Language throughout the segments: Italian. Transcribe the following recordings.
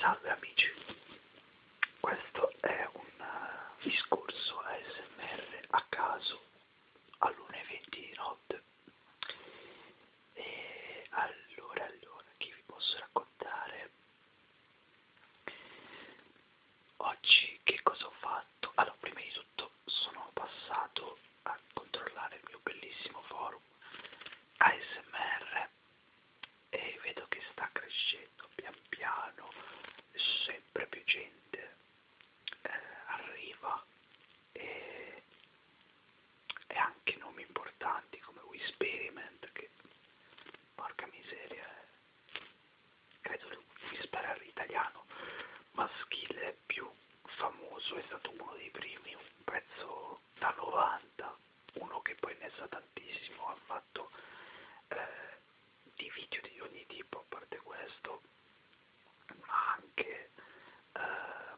Salve amici, questo è un eh, discorso ASMR a caso all'1.20 di notte. E allora, allora, che vi posso raccontare? Oggi che cosa ho fatto? Allora, prima di tutto sono passato a controllare il mio bellissimo forum ASMR e vedo che sta crescendo pian piano, sempre più gente eh, arriva e, e anche nomi importanti come Whisperiment che porca miseria eh. credo che Whisper italiano maschile è più famoso è stato uno dei primi, un pezzo da 90, uno che poi ne sa tantissimo, ha fatto eh, di video di ogni tipo a parte questo, ma anche, eh,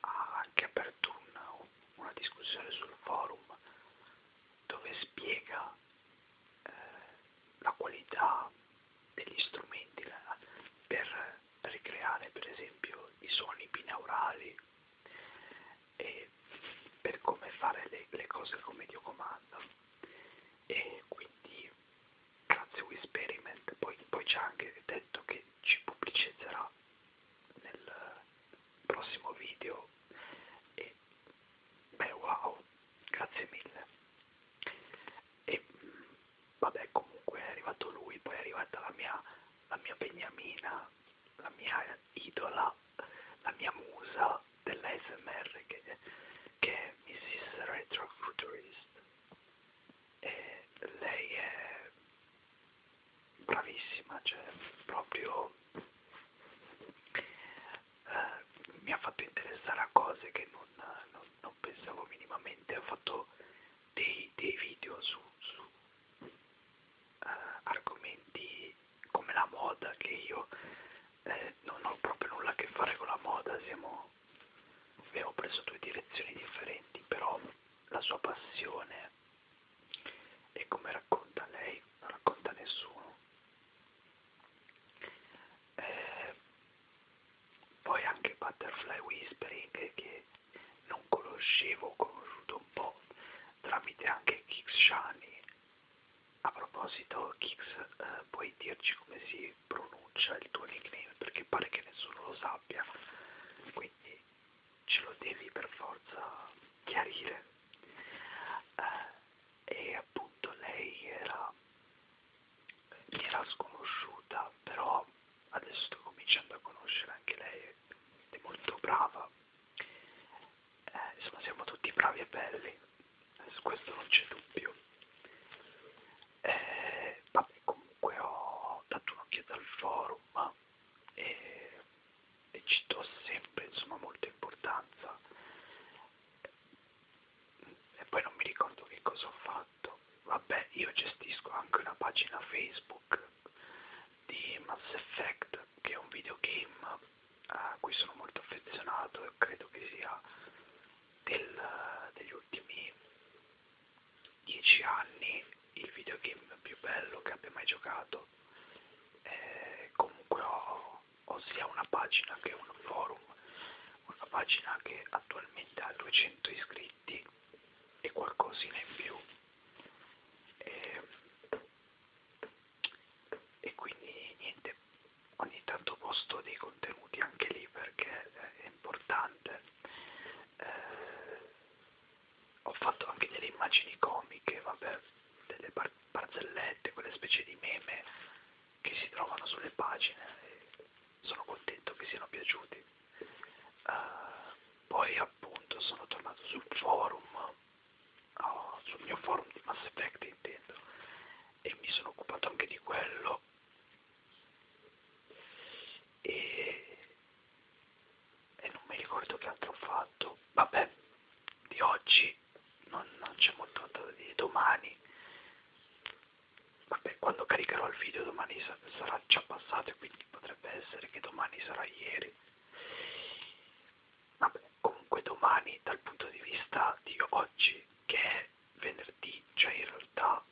ha anche aperto una, una discussione sul forum dove spiega eh, la qualità degli strumenti la, per ricreare per esempio i suoni binaurali e per come fare le, le cose come Dio comanda e quindi grazie a Whisperiment poi, poi c'è anche detto che ci pubblicizzerà nel prossimo video e beh wow grazie mille e vabbè comunque è arrivato lui, poi è arrivata la mia, la mia beniamina, la mia idola, la mia musa dell'ASMR che, che è Mrs. Retro Futurist e lei è bravissima, cioè proprio eh, mi ha fatto interessare a cose che non, non, non pensavo minimamente, ho fatto dei, dei video su, su eh, argomenti come la moda, che io eh, non ho proprio nulla a che fare con la moda, siamo, abbiamo preso due direzioni differenti, però la sua passione e come racconta lei, non racconta nessuno, eh, poi anche Butterfly Whispering eh, che non conoscevo, ho conosciuto un po' tramite anche Kix Shani. A proposito Kix, eh, puoi dirci come si pronuncia il tuo nickname perché pare che nessuno lo sappia, quindi ce lo devi per forza chiarire. Eh, e appunto lei era gli era sconosciuta però adesso sto cominciando a conoscere anche lei è molto brava eh, insomma siamo tutti bravi e belli eh, su questo non c'è dubbio eh, vabbè comunque ho dato un'occhiata al forum e eh, e ci do sempre insomma molta importanza e poi non mi ricordo che cosa ho fatto vabbè io gestisco anche una pagina facebook di Mass Effect che è un videogame a cui sono molto affezionato e credo che sia del, degli ultimi dieci anni il videogame più bello che abbia mai giocato eh, comunque ho, ho sia una pagina che un forum una pagina che attualmente ha 200 iscritti e qualcosina in più e, e quindi niente ogni tanto posto dei contenuti anche lì perché eh, è importante eh, ho fatto anche delle immagini comiche, vabbè, delle par barzellette, quelle specie di meme che si trovano sulle pagine e sono contento che siano piaciuti. Uh, poi appunto sono tornato sul forum, oh, sul mio forum di Mass Effect intendo, e mi sono occupato anche di quello. E e non mi ricordo che altro ho fatto vabbè di oggi non, non c'è molto da dire domani vabbè quando caricherò il video domani sarà già passato e quindi potrebbe essere che domani sarà ieri vabbè comunque domani dal punto di vista di oggi che è venerdì cioè in realtà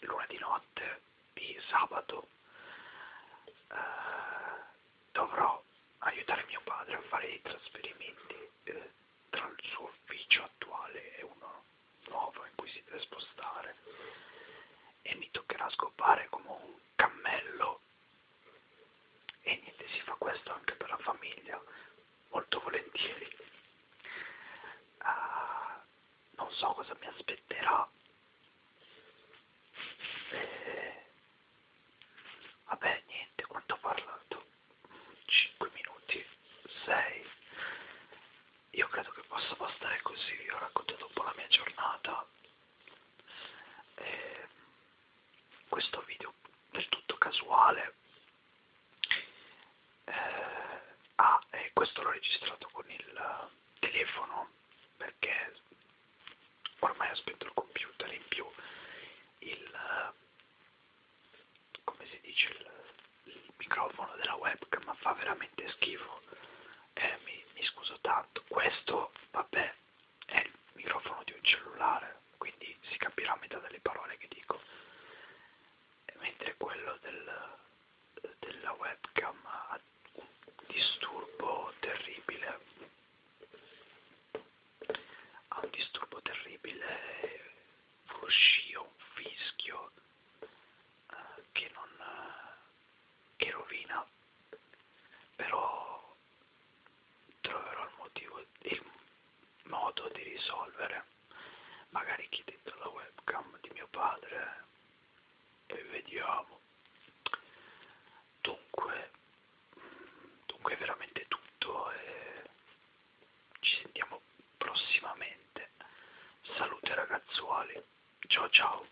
luna di notte di sabato eh, dovrò aiutare mio padre a fare i trasferimenti eh, tra il suo ufficio attuale e uno nuovo in cui si deve spostare e mi toccherà scopare come un cammello e niente si fa questo anche per la famiglia molto volentieri uh, non so cosa mi aspetterà. E... Eh, vabbè, niente, quanto ho parlato? 5 minuti, 6. Io credo che possa bastare così, vi ho raccontato un po' la mia giornata. E... Eh, questo video del tutto casuale eh, ah e questo l'ho registrato con il eh, telefono perché ormai aspetto il computer in più il eh, come si dice il, il microfono della webcam fa veramente schifo eh, mi, mi scuso tanto questo vabbè è il microfono di un cellulare quindi si capirà a metà delle parole che dico mentre quello del, della webcam ha un disturbo terribile ha un disturbo terribile un fruscio, un fischio eh, che non eh, che rovina però troverò il motivo, il modo di risolvere. Magari chiedete la webcam di mio padre e vediamo. Dunque, dunque è veramente tutto e ci sentiamo prossimamente. Salute ragazzuoli, ciao ciao.